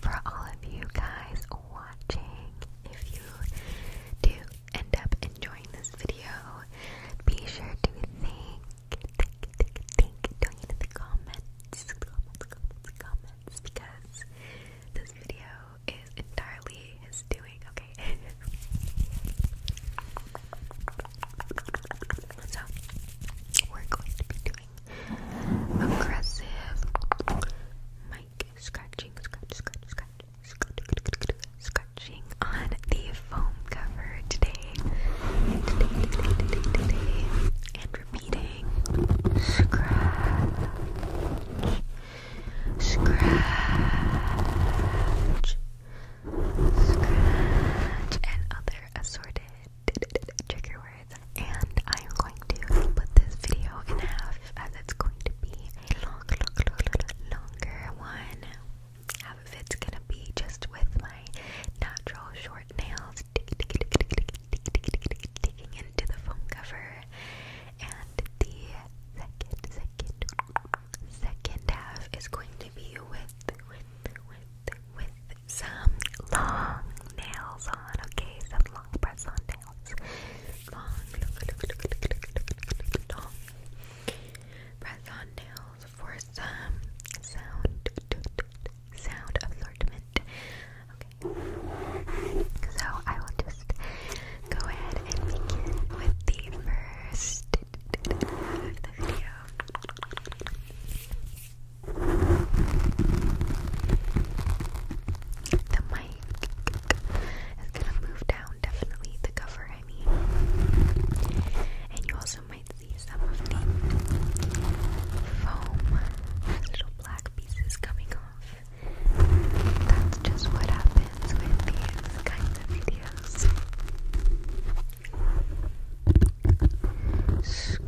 for all of you guys watching. If you do end up enjoying this video, be sure to thank, thank, thank, thank Doing in the comments, comments, comments, comments, because this video is entirely his doing. Okay. so we're going to be doing aggressive. Mic scratching, scratch, scratch, scratching on the foam cover today. And repeating scratch, scratch, scratch, and other assorted trigger words, and I am going to put this video in half as it's going to be a long, long, long, longer one. Half of it's gonna be just with my natural short nails digging into the phone cover, and the second, second, second half is going to be with, with, with, with some long nails on, okay? Some long press on nails. Long, press on nails for some sound, sound assortment. Okay. So I will just go ahead and begin with the first out of the video. The mic is gonna move down, definitely, the cover, I mean. And you also might see some of the foam little black pieces coming off. That's just what happens with these kinds of videos. Scratch. Scratch.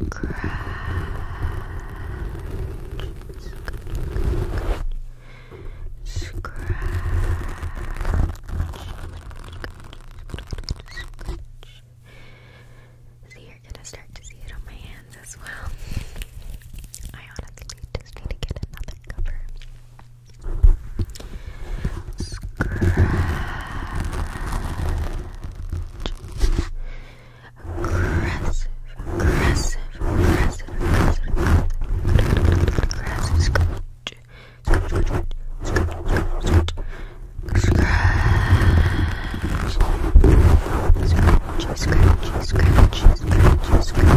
Scratch. Scratch. So you're gonna start to see it on my hands as well. I honestly just need to get another cover. Scratch aggressive, aggressive, aggressive, aggressive, aggressive, aggressive, scratch, scratch, scratch, scratch, scratch, scratch, scratch, scratch, scratch, scratch.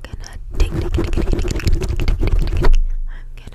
I'm gonna dig, dig, dig, dig, dig, dig, dig, dig, dig, dig, dig. I'm gonna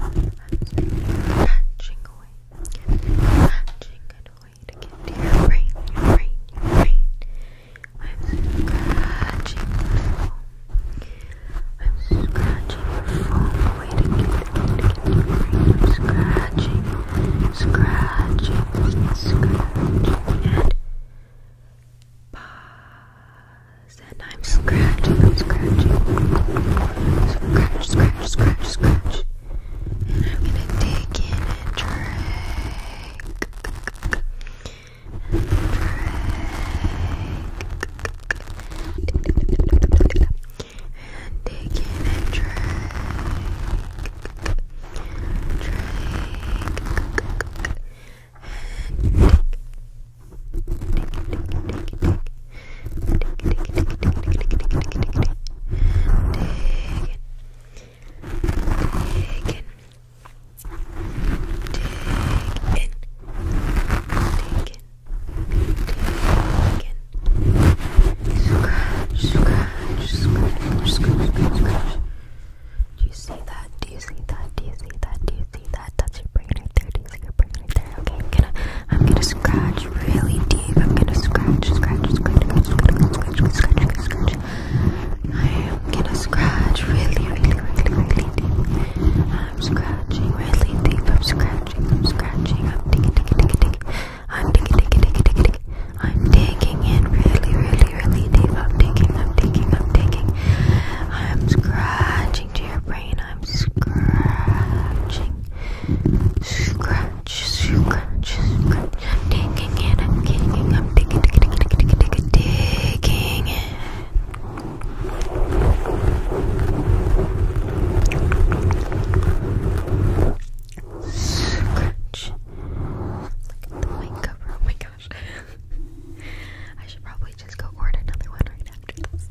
i away, matching it away to get to your brain, your brain, your brain. I'm scratching the foam. I'm scratching the foam away to to get to your brain. scratching, scratching, scratching, and bye and I'm scratching, I'm scratching, scratch, scratch, scratch, scratch, and I'm gonna dig in and drag, and drag, and dig in and drag, drag, and dig. Do you see that? Do you see that? Do you see that? Do you see that. That's your brain right there. Do you see your brain right there? Okay, I'm gonna, I'm gonna scratch really deep. I'm gonna scratch, scratch, scratch, scratch, scratch, scratch, scratch, scratch. I am gonna scratch really, really, really, really deep. I'm scratching really deep. I'm scratching. I'm scratching. I'm digging, digging, digging, digging. I'm digging, digging, digging, digging, digging. I'm digging in really, really, really deep. I'm digging. I'm digging. I'm digging. I'm scratching to your brain brain I'm scratching Scratch, scratch, I'm digging in, I'm digging, I'm digging, digging, digging, digging, digging, digging Scratch Look at the white oh my gosh I should probably just go order another one right after this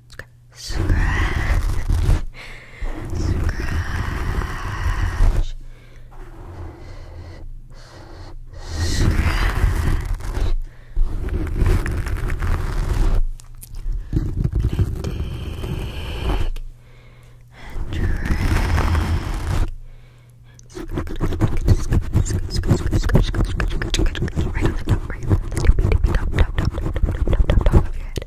scratch, scratch, scratch. dig and drag. Scratch, scratch, scratch, scratch, scratch, right on the top, right on the tippy, tippy, top, top, top, top, top, top, top, top of your head.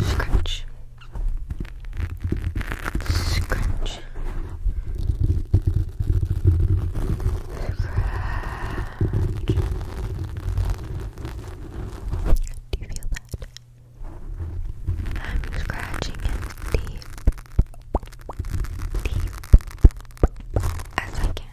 Scratch. Scratch. Scratch. Do you feel that? I'm scratching it deep, deep as I can.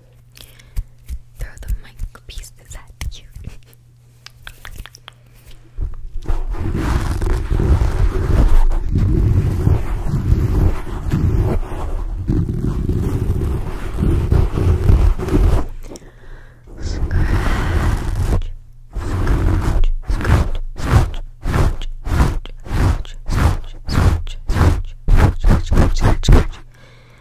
Throw the mic pieces at you. Scratch, scratch, scratch, scratch. Scratch, scratch, scratch, scratch, scratch, scratch, scratch, scratch, scratch, scratch,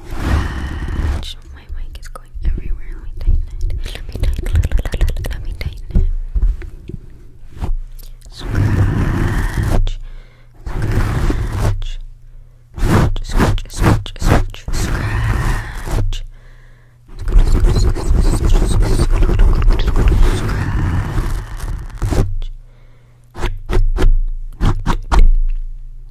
my mic is going everywhere. Let me tighten it. Let me tighten it. Let me tighten it. Scratch. Scratch. Scratch. Scratch. Scratch. Scratch. Scratch.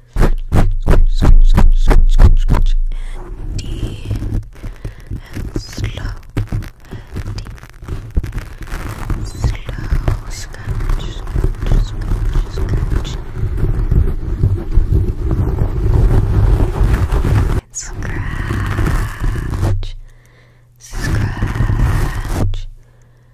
scratch, scratch, scratch, and deep and slow, and deep slow, scratch. Scratch,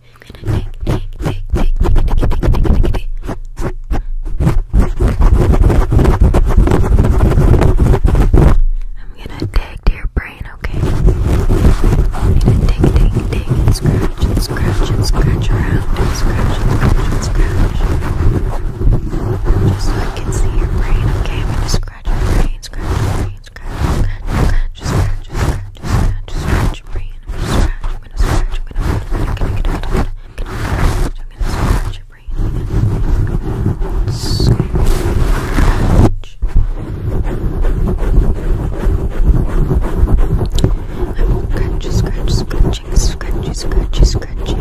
I'm gonna take, take, take, take, take, take, take, take, take, take. I'm gonna dig to your brain, okay? I'm gonna dig, dig, dig, and scratch, and scratch, and scratch around, and scratch, and scratch, and scratch. Just so I can see your brain, okay? i scratch your brain, scratch your brain, scratch, scratch, scratch, scratch, scratch scratch, scratch your brain. I'm gonna scratch, I'm gonna scratch, I'm gonna I'm gonna I'm gonna I'm gonna scratch your brain. Scratch. I will scratch, scratch, scratching, scratchy, scratchy, scratching.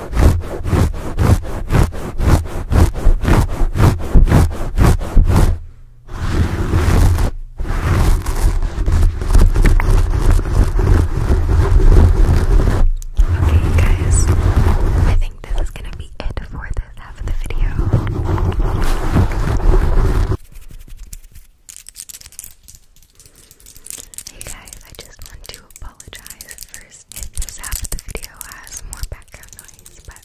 Okay, guys, I think this is gonna be it for this half of the video. Hey guys, I just want to apologize for this this half of the video has more background noise, but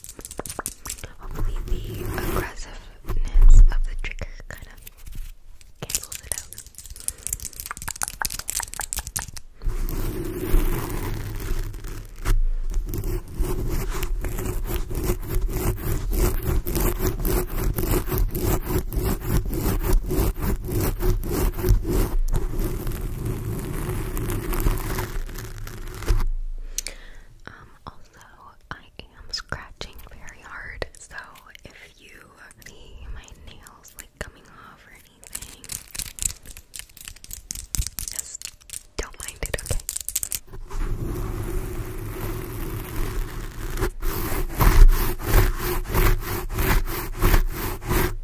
hopefully the aggressiveness of the trigger kind of cancels it out. Um, also, I am scratching very hard, so if you see my nails like coming off or anything, just don't mind it, okay?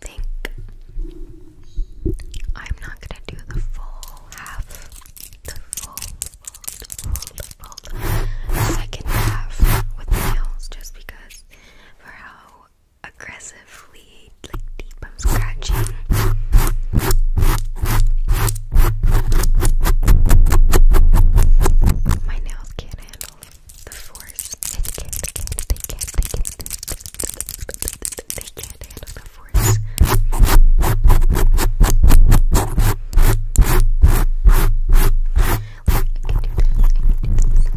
think I'm not gonna do the full half, the full, full, full, full second half with nails just because for how aggressively, like deep I'm scratching. My nails can't handle the force. They can't, they can they can they can They can't the force. Like, can do this, I can do this, I can do this, I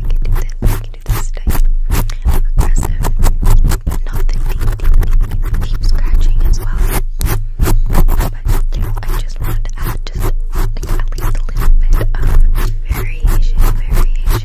can do this type of aggressive, not the deep, deep, deep, deep scratching as well. But yeah, I just wanted to add just at least a little bit of variation, variation.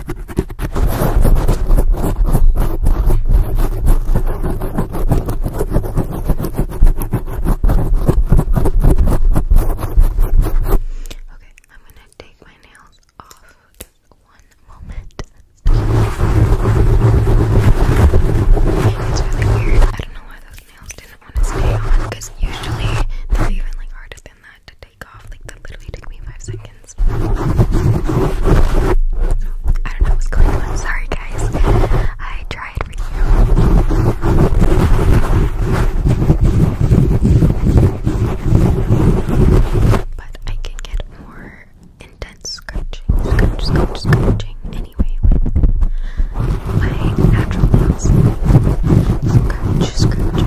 Okay, I'm gonna take my nails off just one moment. It's really weird. I don't know why those nails didn't want to stay on because usually they're even like harder than that to take take off. Like that literally took me five seconds. I don't know what's going on. Sorry guys. I tried for you. But I can get more intense scratching, scratch, scratch, scratching anyway with my natural nails. Scratch, scratch,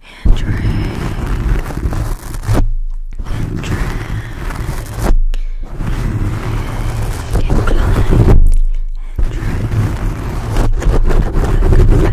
and drag and drag and climb and drag and drag and drag and drag and drag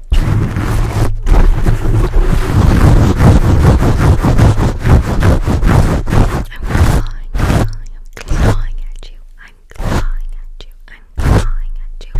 clawing, I'm clawing at you. I'm clawing at you. I'm clawing at you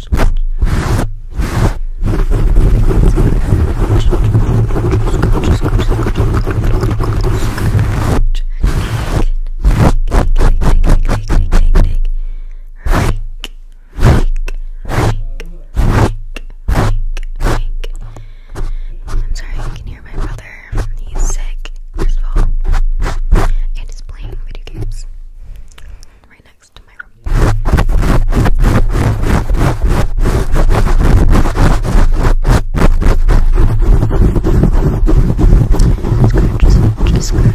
I'm sorry you can hear my brother. He's sick, first of all. And he's playing video games right now. back to my room. Scratch, just scratch.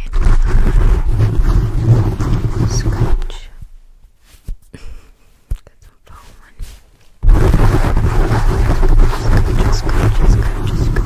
and scratch. That's a foam one. Scratch, scratch, scratch, scratch. Scratch, scratch, scratch.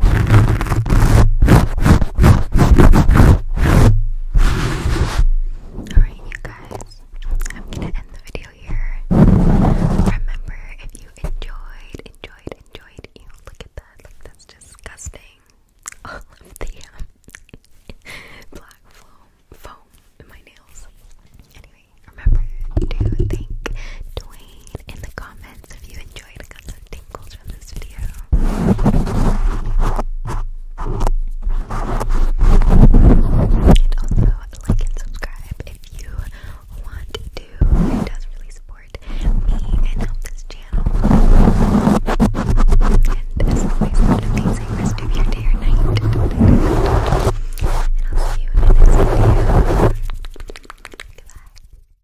Alright, you guys, I'm gonna end the video here. Remember, if you enjoyed, enjoyed, enjoyed, you look at that, like that's disgusting. All of the um, black foam, foam in my nails. Anyway, remember to thank Dwayne in the comments if you enjoyed also like and subscribe if you want to. It does really support me and help this channel. And as always, have an amazing rest of your day or night. And I'll see you in the next video. Goodbye.